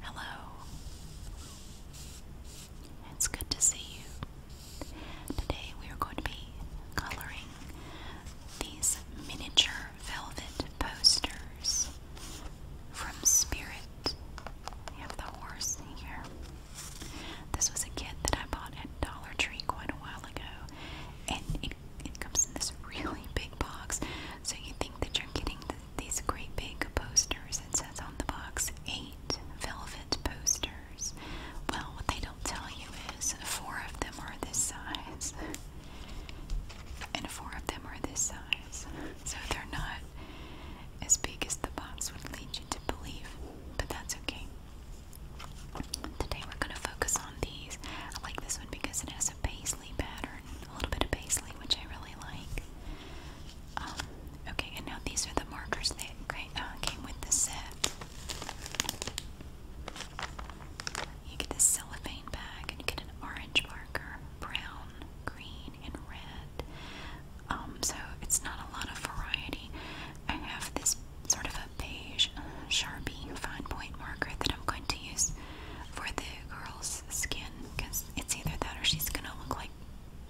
Hello. It's good to see you. Today we are going to be coloring these miniature velvet posters from Spirit. We have the horse here. This was a kit that I bought at Dollar Tree quite a while ago, it comes in this really big box. So you think that you're getting th these great big posters. It says on the box eight velvet posters. Well, what they don't tell you is four of them are this size, and four of them are this size. So they're not as big as the box would lead you to believe, but that's okay. Today we're going to focus on these. I like this one because it has is pattern, a little bit of paisley, which I really like. Um, okay, and now these are the markers that uh, came with the set. You get this cellophane bag, and you get an orange marker, brown, green, and red. Um, so it's not a lot of variety. I have this sort of a beige Sharpie fine point marker that I'm going to use for the girl's skin because it's either that or she's gonna look like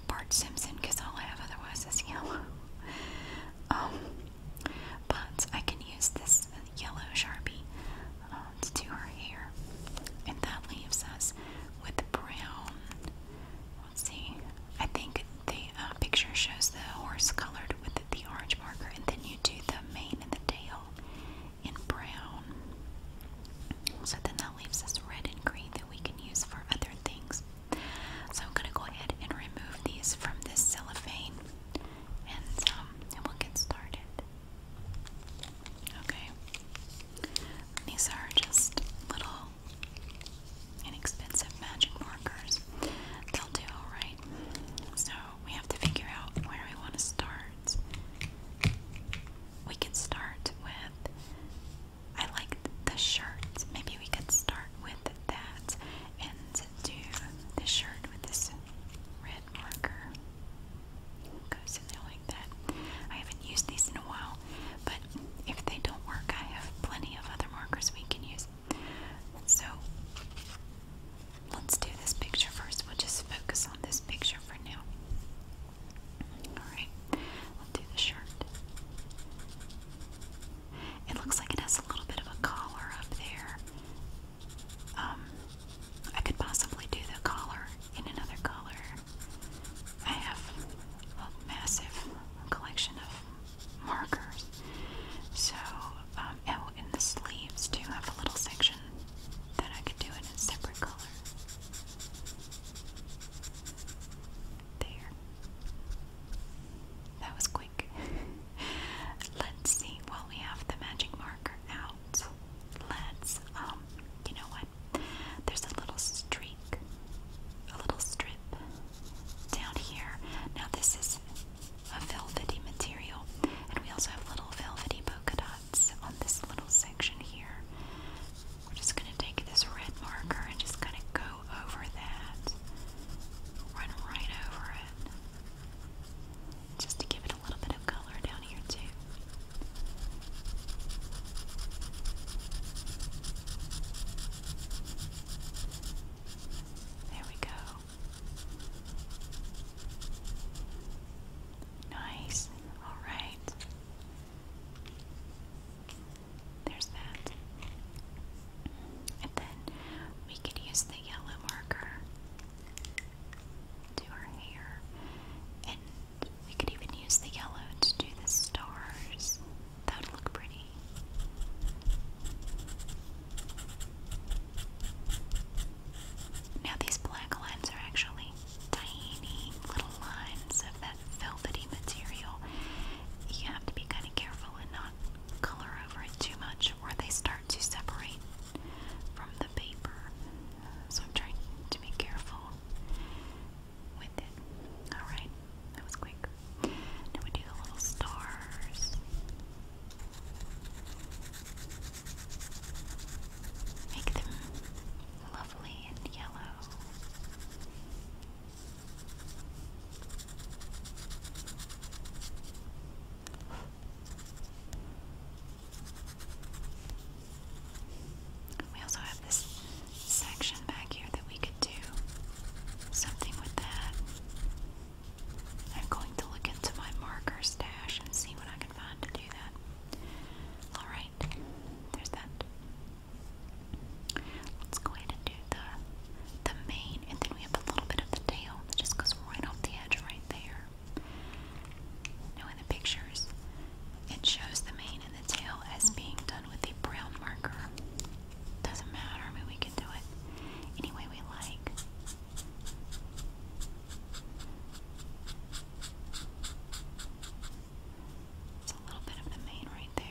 Bart Simpson because all I have otherwise is yellow. Um, but I can use this yellow Sharpie um, to do her hair. And that leaves us with the brown. Let's see. I think the uh, picture shows the horse colored with the orange marker, and then you do the mane and the tail in brown. So then that leaves us red and green that we can use for other things. So I'm going to go ahead and remove these from this cellophane um, and, we'll get started. Okay. These are just little inexpensive magic markers. They'll do alright. So we have to figure out where we want to start. We can start with. I like the shirt. Maybe we could start with that and do the shirt with this red marker. Goes in there like that. I haven't used these in a while, but if they don't work, I have plenty of other markers we can use. So let's do this picture first. We'll just focus on this picture for now. Alright, we'll do the shirt. It looks like it has a little bit of a collar up there. Um, I could possibly do the collar in another color. I have a massive collection of markers. So, um, oh, and the sleeves do have a little section that I could do in a separate color. There. That was quick. Let's see. Well, we have the magic marker out. Let's, um, you know what? There's a little streak, a little strip down here. Now, this is a velvety material, and we also have little velvety polka on this little section here. We're just going to take this red marker and just kind of go over that. Run right over it. Just to give it a little bit of color down here, too. There we go. Nice. All right. There's that. And then we could use the yellow marker to her hair. And we could even use the yellow to do the stars. That would look pretty. Now, these black lines are actually tiny little lines of that velvety material. You have to be kind of careful and not color over it too much, or they start to separate from the paper. So, I'm trying to be careful with it. Alright, that was quick. Now we do the little stars. Make them lovely and yellow. We also have this section back here that we could do something with that. I'm going to look into my marker stash and see what I Alright, there's that. Let's go ahead and do the, the mane, and then we have a little bit of the tail that just goes right off the edge right there. Now in the pictures, it shows the mane and the tail as being done with a brown marker. Doesn't matter, I mean we can do it any way we like. It's a little bit of the mane right there.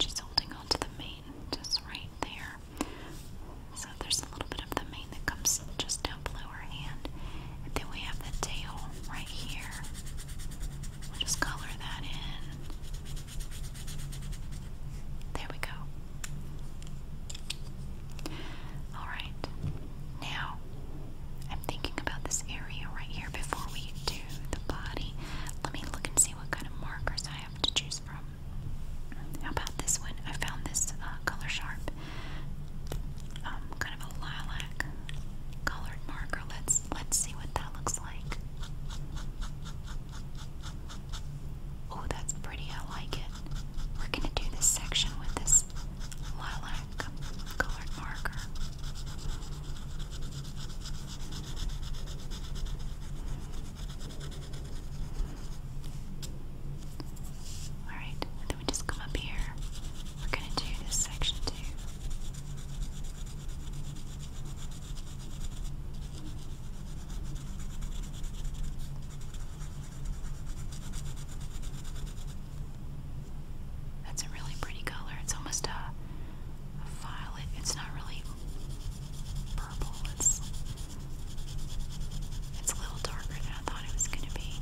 She's holding on the mane just right there. So there's a little bit of the mane that comes just down below her hand. And then we have the tail right here. just color that in. There we go. Alright, now I'm thinking about this area right here before we do the body. Let me look and see what kind of markers I have to choose from. How about this one? I found this uh, Color Sharp, um, kind of a lilac colored marker. Let's let's see what that looks like. Oh, that's pretty. I like it. We're gonna do this section with this lilac colored marker. Alright, then we just come up here. We're going to do this section too. That's a really pretty color. It's almost a uh, violet. It's not really purple. It's it's a little darker than I thought it was going to be.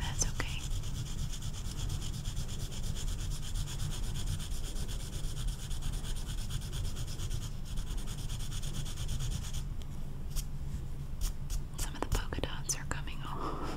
That's okay. Some of the polka dots are coming off.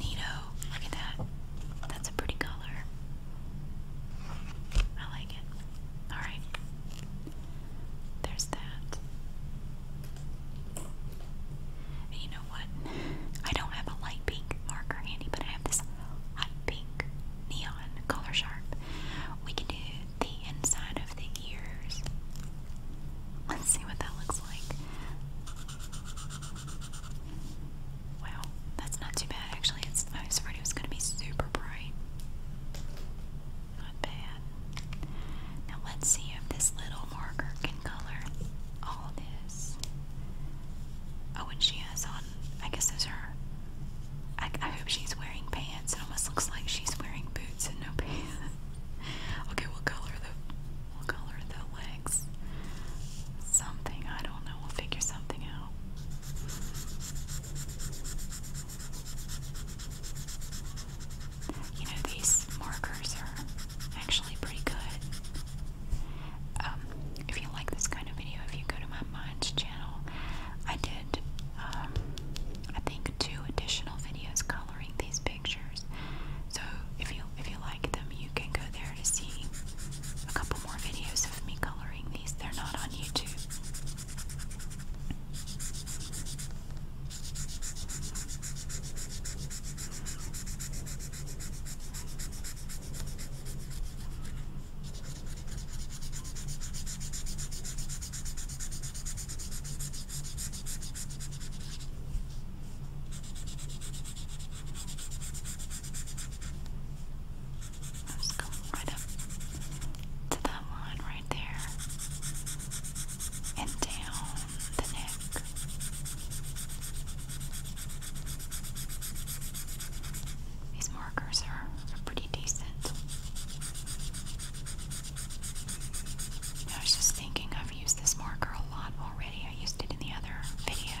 Neato. Look at that. That's a pretty color. I like it. Alright. There's that. you know what? I don't have a light pink marker handy, but I have this hot pink neon color sharp. We can do the inside of the ears. Let's see what that looks like. Wow, that's not too bad actually. It's, I was afraid it was going to be super bright. Not bad. Now let's see if this little marker can color all this. Oh, and she has on, I guess those are, I, I hope she's wearing pants. It almost looks like she's wearing boots and no pants. okay, we'll color the We'll color the legs something. I don't know. We'll figure something out. You know, these markers are actually pretty good. Um, if you like this kind of video, if you go to my Minds channel, I did, um, I think, two additional videos coloring these big pictures. So if you if you like them, you can go there to see a couple more videos of me coloring these. They're not on YouTube. I'm just right up to that line right there and down the neck. These markers are pretty decent. I was just thinking I've used this marker a lot already. I used it in the other videos.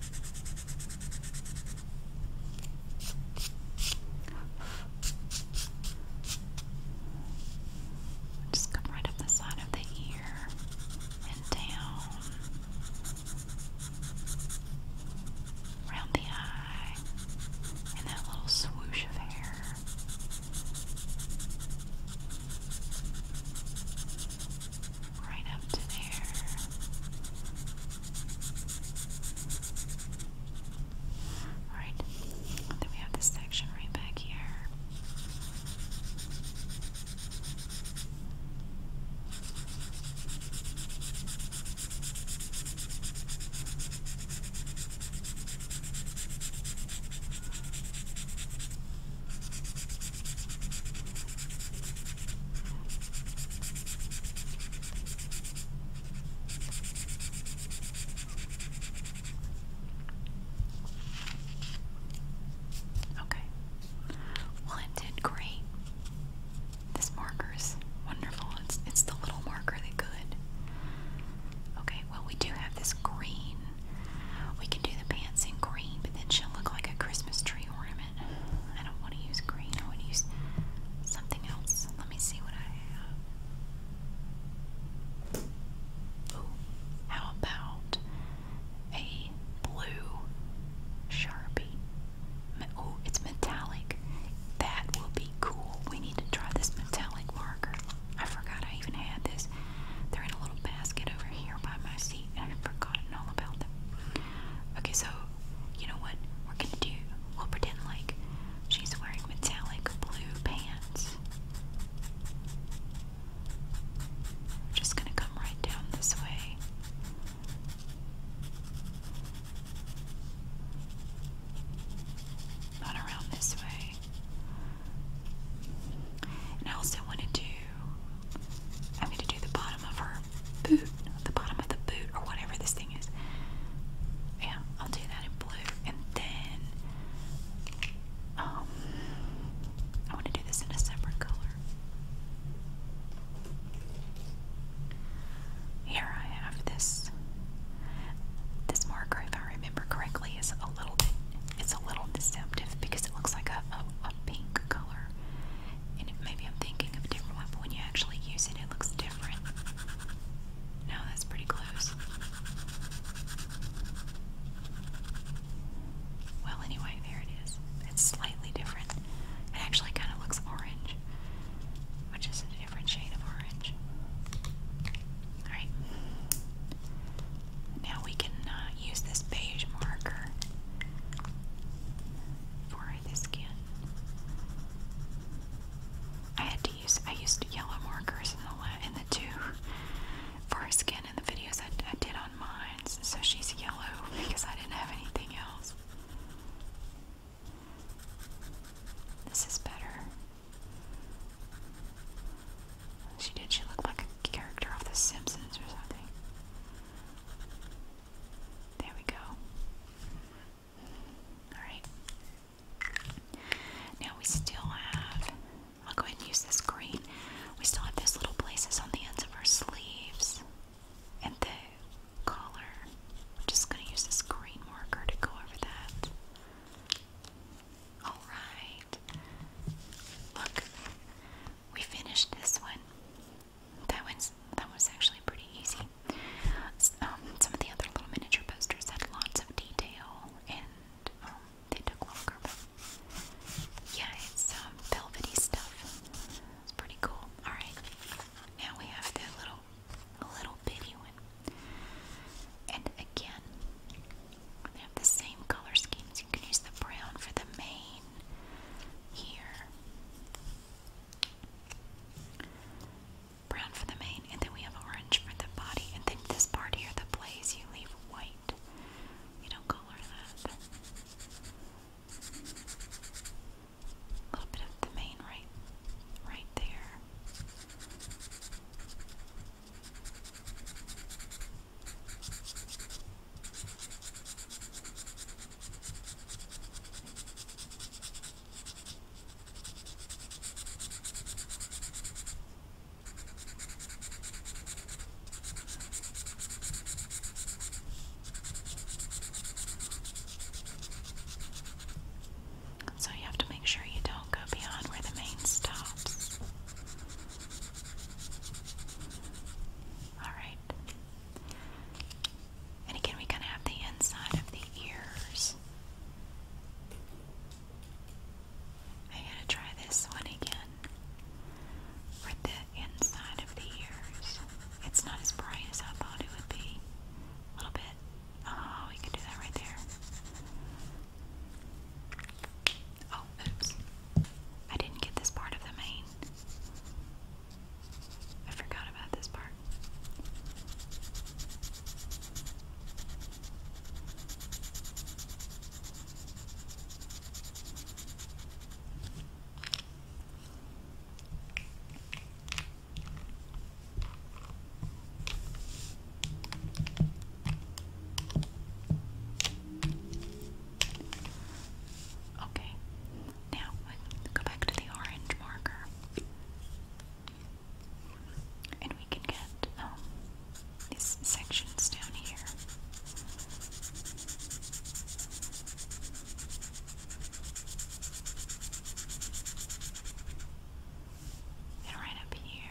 Just come right up the side of the ear and down around the eye and that little swoosh of hair right up to there. Alright, then we have this section right back here. Okay. Well, it did great. This marker is wonderful. It's it's the little marker that could. Okay, well we do have this green. We can do the pants in green, but then she'll look like a Christmas tree I don't want to use green. I want to use something else. Let me see what I have. how about a blue Sharpie? Oh, it's metallic. That will be cool. We need to try this metallic marker. I forgot I even had this. They're in a little basket over here by my Okay, so you know what we're gonna do? We'll pretend like she's wearing metallic blue pants. We're just gonna come right down this way. Not around this way. And I also want to do I'm going to do the bottom of her boot, the bottom of the boot, or whatever this thing is. Yeah, I'll do that in blue. And then, um, I want to do this in a separate color. Here I have this. This marker, if I remember correctly, is a little it's a little deceptive because it looks like a, a pink color. And maybe I'm thinking of a different one, but when you actually use it, it looks different. No, that's pretty close. Well, anyway, there it is. It's slightly different. It actually kind of looks orange, which is a different shade of orange. Alright. Now we can uh, use this beige marker for the skin. I had to use I used yellow markers in the in the two for her skin in the videos I, I did on mine. So she's yellow because I didn't have anything else. This is better. She did. She looked like a character off The Simpsons or something. There we go. Alright. Now we still have, I'll go ahead and use this green. We still have those little places on the ends of our sleeves and the collar. I'm just going to use this green marker to go over that. Alright. Look, we finished this one. That one's that was actually pretty easy. Um, some of the other little miniature posters had lots of detail, and um, they took longer. yeah, it's um, velvety stuff. It's pretty cool. All right, now we have the little, little bitty one, and again, they have the same color scheme you can use the brown for the main here. Brown for the main, and then we have orange for the body. And then this part here, the blaze, you leave white. You don't color that. A little bit of the main right, right there. So you have to make sure you don't go beyond where the main stops. All right. And again, we kind of have the inside of the ears. I gotta try this one again for the inside of the ears. It's not as bright as I thought it would be. A little bit. Oh, we could do that right there. Oh, oops. I didn't get this part of the mane. I forgot about this part. Okay, now go back to the orange marker. And we can get um, these sections down here. And right up here.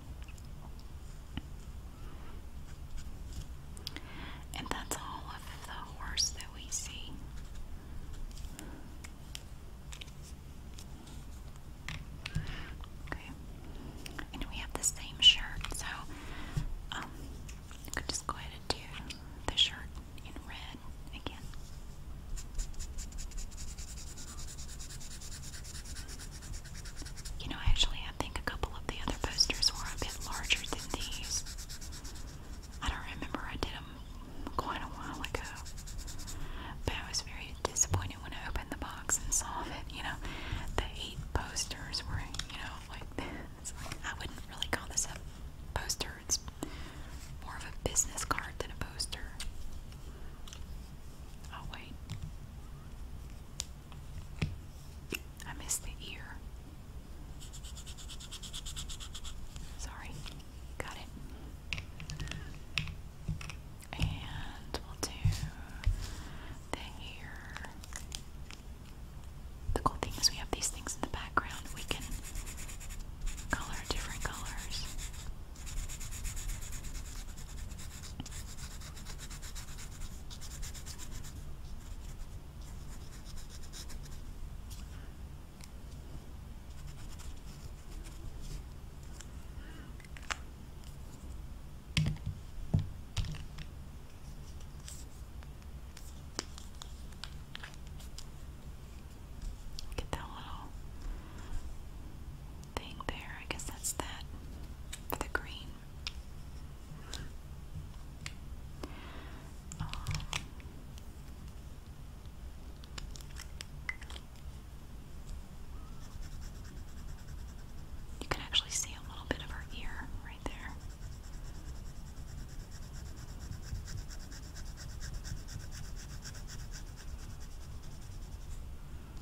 And that's all of the horse that we see. Okay. And we have the same shirt, so um, I could just go ahead and do the shirt in red again. You know, actually, I think a couple of the other posters were a bit larger than these. I don't remember, I did them quite a while ago. But I was very disappointed when I opened the box and saw that, you know, the eight posters were, you know, like this. Like, I wouldn't really call this a poster, it's more of a business card than a poster. Oh, wait. I missed the ear. Sorry. Got it. And we'll do the ear. The cool thing is we have these things in the background. We can color different colors. Get that little thing there. I guess that's that for the green. Um, you can actually see a little bit of her ear right there.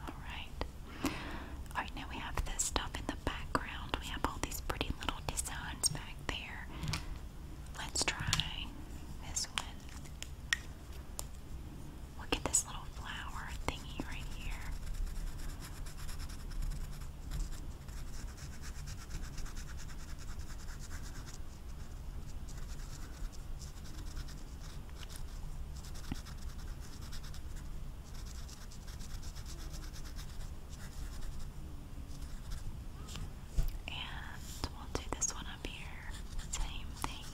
Alright. Alright, now we have this stuff in the background. We have all these pretty little designs back there. Let's try this one. Look at this little flower thingy right here. And we'll do this one up here. Same thing.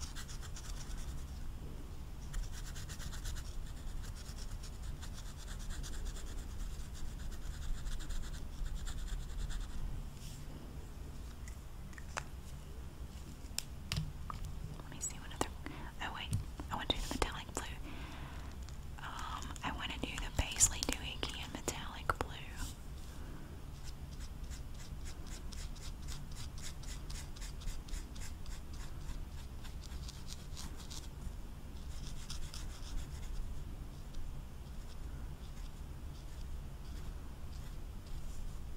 Let me see what other. Oh wait, I want to do the metallic blue. Um, I want to do the Paisley Doohickey in metallic blue.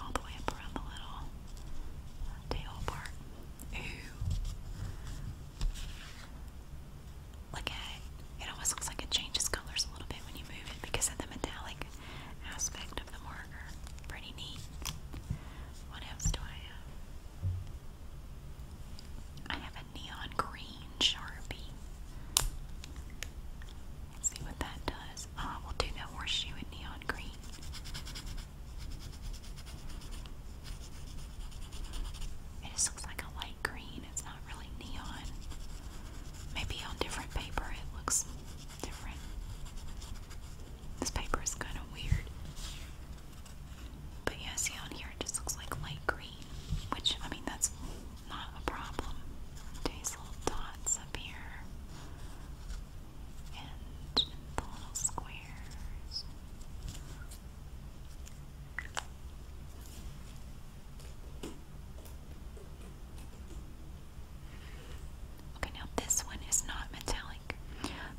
all the way up around the little uh, tail part. Ooh. Look at it. It almost looks like it changes colors a little bit when you move it because of the metallic aspect of the marker. Pretty neat. What else do I have? I have a neon green Sharpie. Let's see what that does. Uh, we'll do that horseshoe in neon green. It just looks like a light green. It's not really neon. Maybe on different paper it looks different. This paper is kind of weird. But yeah, see on here it just looks like light green, which I mean that's not a problem. These little dots up here and the little squares. Okay, now this one is not metallic.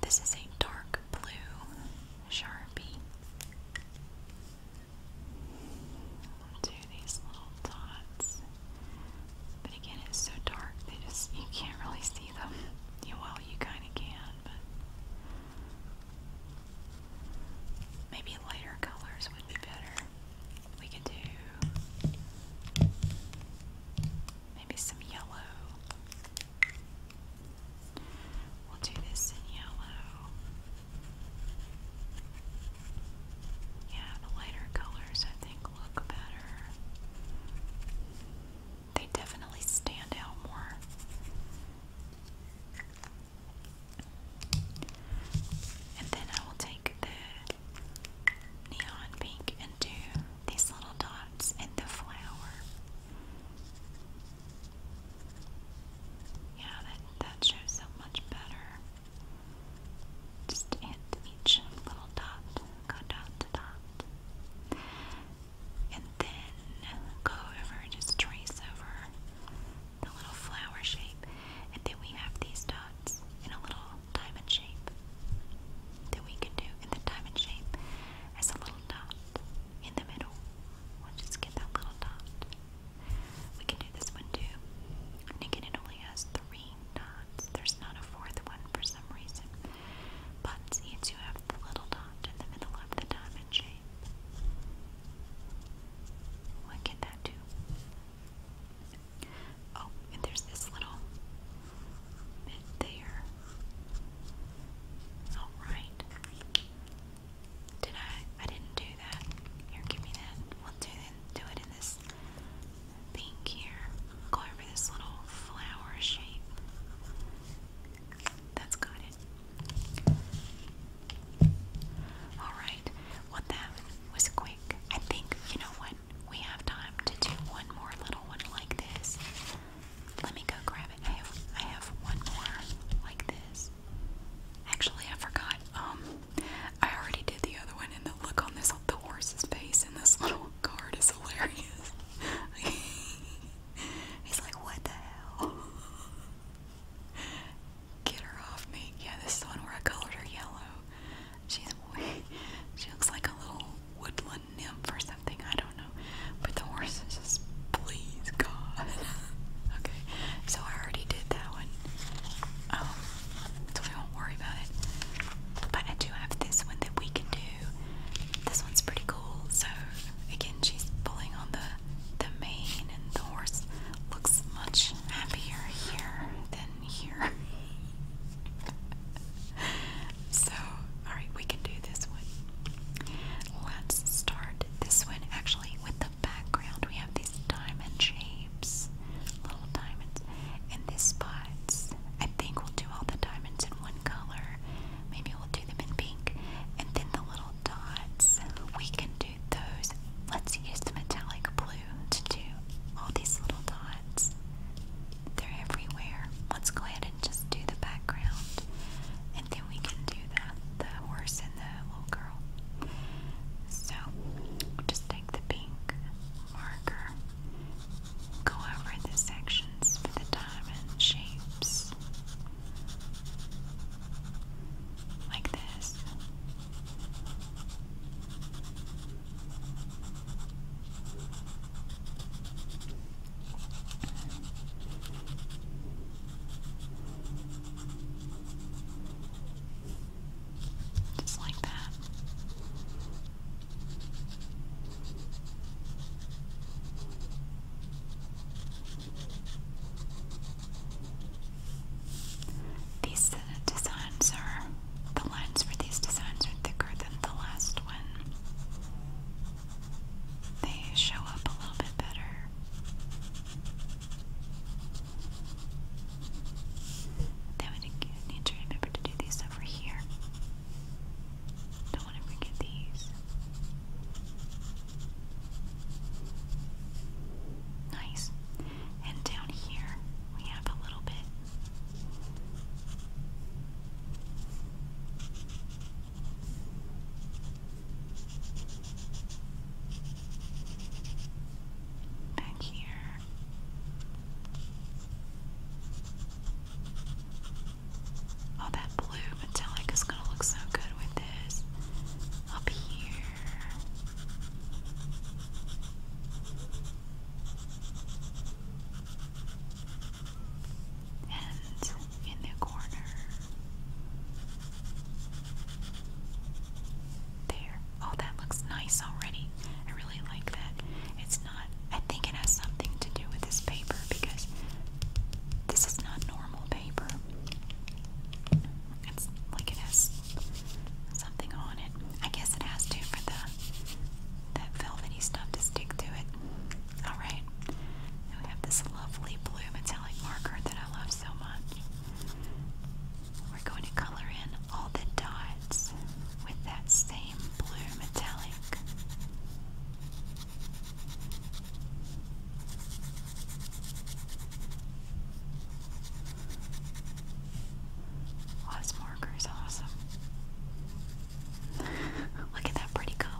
This is a dark blue Sharpie these little dots. But again, it's so dark they just you can't really see them. well, you kind of can, but maybe lighter colors would be better. We could do maybe some yellow. We'll do this in yellow. Yeah, the lighter colors I think look better. They definitely stand out more. And then I will take the neon pink and do these little dots in the flower. Yeah, that, that shows up much better. Just at each little dot, go dot to dot. And then go over, just trace over the little flower shape. And then we have these dots in a little diamond shape that we can do. in the diamond shape as a little dot in the middle. We'll just get that little dot. We can do this one too. And it only has three there's not a fourth one for some reason. But you have little dot in the middle of the diamond shape. What can that do? Oh, and there's this little bit there. Alright. Did I? I didn't do that. Here, give me that. We'll do, do it in this pink here. Go over this little flower shape. That's got it. Alright, well that was quick. I think, you know what? We have time to do one more little one like this. Let me go grab it. I have I have one more like this. Actually I forgot. Um I already did the other one and the look on this the horse's face in this little card is hilarious. He's like, what the hell? Get her off me. Yeah, this one where I colored her yellow. She's she looks like a little woodland nymph or something. I don't know. But the horse is just please God. okay, so I already did that one. Um, so we won't worry about it. But I do have this one that we can do. This one's pretty cool. So again, she's pulling on the the mane, and the horse looks much happier here than here. so, all right, we can do this one. Let's start this one actually with the background. We have these diamond shapes little diamonds. And these spots, I think we'll do all the diamonds in one color. Maybe we'll do them in pink. And then the little dots, we can do those. Let's use the metallic blue to do all these little dots. They're everywhere. Let's go ahead and just do the background. And then we can do the, the horse and the little girl. So, just take the pink marker Go over the sections for the diamond shapes. Like this. Just like that. These designs are, the lines for these designs are thicker than the last one. They show up a little bit better. They would need to remember to do these over here here. Don't want to forget these. Nice. And down here we have a little bit. Back here. Oh, that blue metallic is gonna look so good with this up here. And in the corner. There. Oh, that looks nice already. I really like that. It's I think it has something to do with this paper because this is not normal paper. It's like it has something on it. I guess it has to for the that velvety stuff to stick to it. Alright. we have this lovely blue metallic marker that I love so much. We're going to color in all the dots with that same blue metallic. Lost marker is awesome. Look at that pretty color.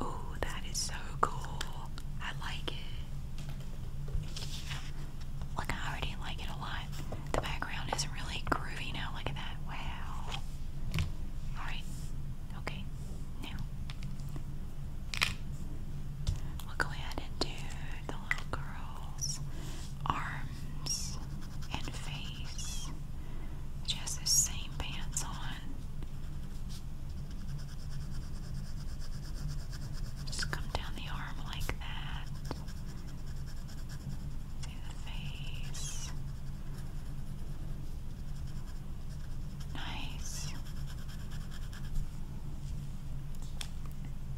Oh, that is so cool. I like it. Look, I already like it a lot. The background is really groovy now. Look at that. Wow. Alright. Okay. Now, we'll go ahead and do the little girl's arms and face. She has those same pants on. Just come down the arm like that. See the face. Nice.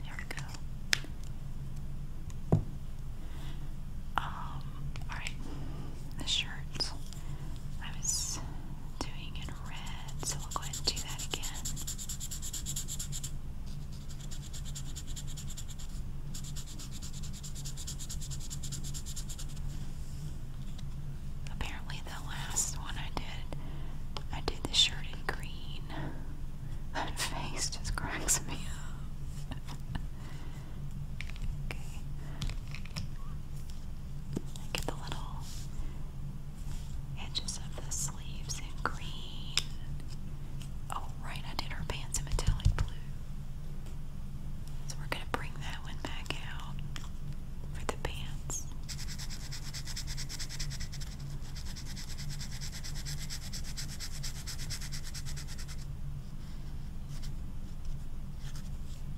There we go. Um, alright. The shirts. I was doing in red, so we'll go ahead and do that again. Apparently, the last one I did, I did the shirt in green. That face just cracks me up. Okay. I get the little edges of the sleeves in green. Oh, right, I did her pants in metallic blue. So we're going to bring that one back out for the pants.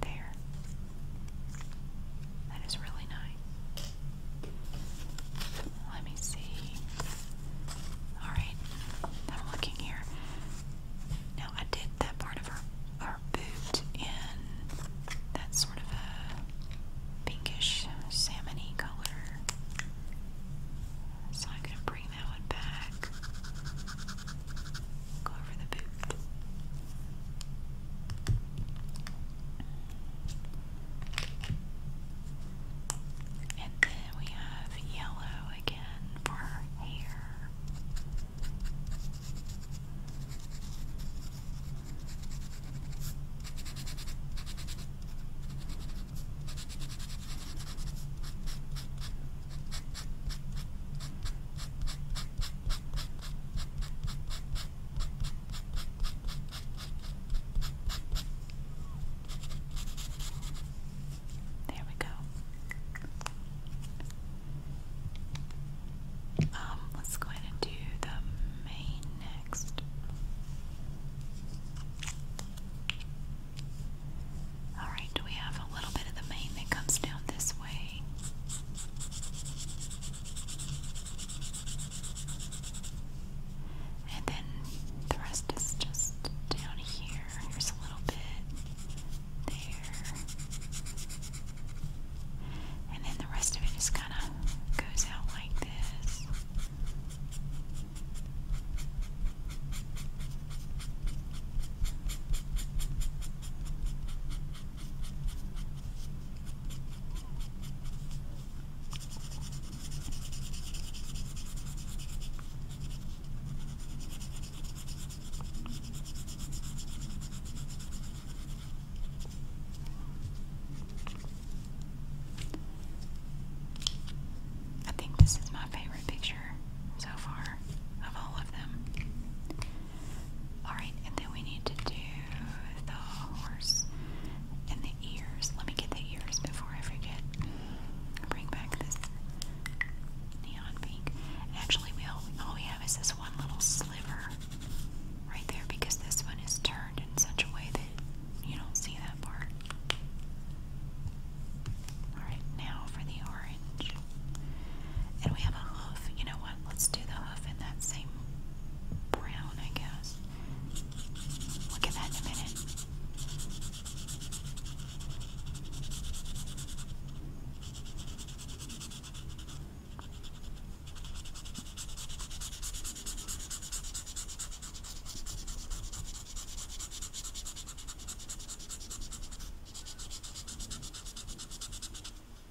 There. That is really nice. Let me see. Alright, I'm looking here. Now, I did that part of her, her boot in that sort of a pinkish, salmony color. So I'm going to bring that one back. Go over the boot. And then we have yellow again for hair. There we go. Um, let's go ahead and do the main next. Alright, we have a little bit of the main that comes down this way. Okay. And then the rest is just down here. Here's a little bit there. And then the rest of it just kind of goes out like this. I think this is my favorite picture so far of all of them. Alright, and then we need to do the horse and the ears. Let me get the ears before I forget. Bring back this neon pink. Actually, we all, we have is this one little sliver right there because this one is turned in such a way that you don't see that part. Alright, now for the orange. And we have a hoof. You know what? Let's do the hoof in that same brown, I guess. Look at that a minute.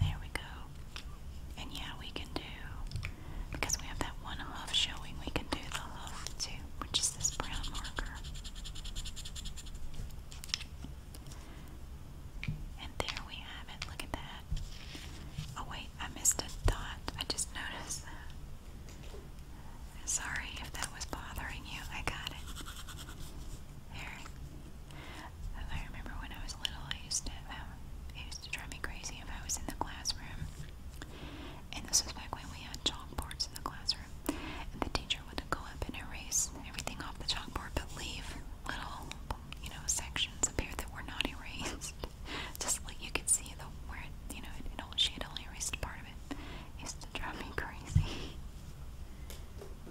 There we go. And yeah, we can do because we have that one hoof showing, we can do the hoof too which is this brown marker. And there we have it. Look at that. Oh, wait, I missed a dot. I just noticed Sorry if that was bothering you. I got it. There. I remember when I was little, I used to, uh, it used to drive me crazy if I was in the classroom and this was back when we had chalkboards in the classroom. And the teacher would go up and erase everything off the chalkboard, but leave little, you know, sections appear that were not erased. Just like you could see the where you know, she had only erased part of it. It used to drive me crazy.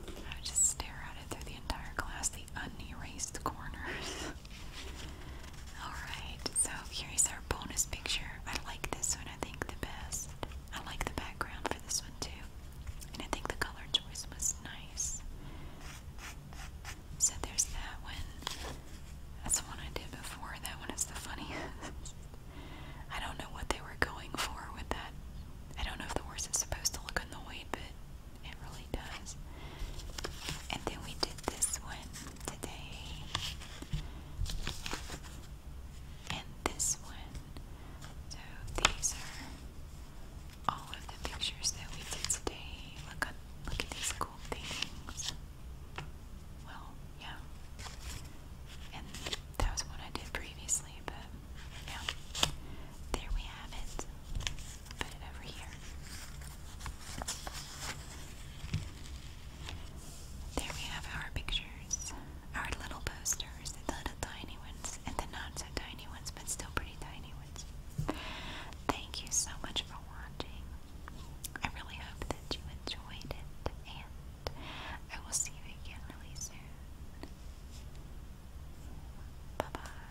I would just stare at it through the entire class, the unerased corners. Alright, so here's our bonus picture. I like this one, I think, the best. I like the background for this one too. And I think the color choice was nice. So there's that one. That's the one I did before. That one is the funniest. I don't know what they were going for with that. I don't know if the horse is supposed to look annoyed, but it really does. And then we did this one today. And this one. So these are all of the pictures that we did today. Look at look at these cool things. Well, yeah. And that was one I did previously, but yeah. There we have it. Put it over here. There we have our pictures, our little posters, the little tiny ones, and the not so tiny ones, but still pretty tiny ones. Thank you so much for watching. I really hope that you enjoyed it, and I will see you again really soon. Bye bye.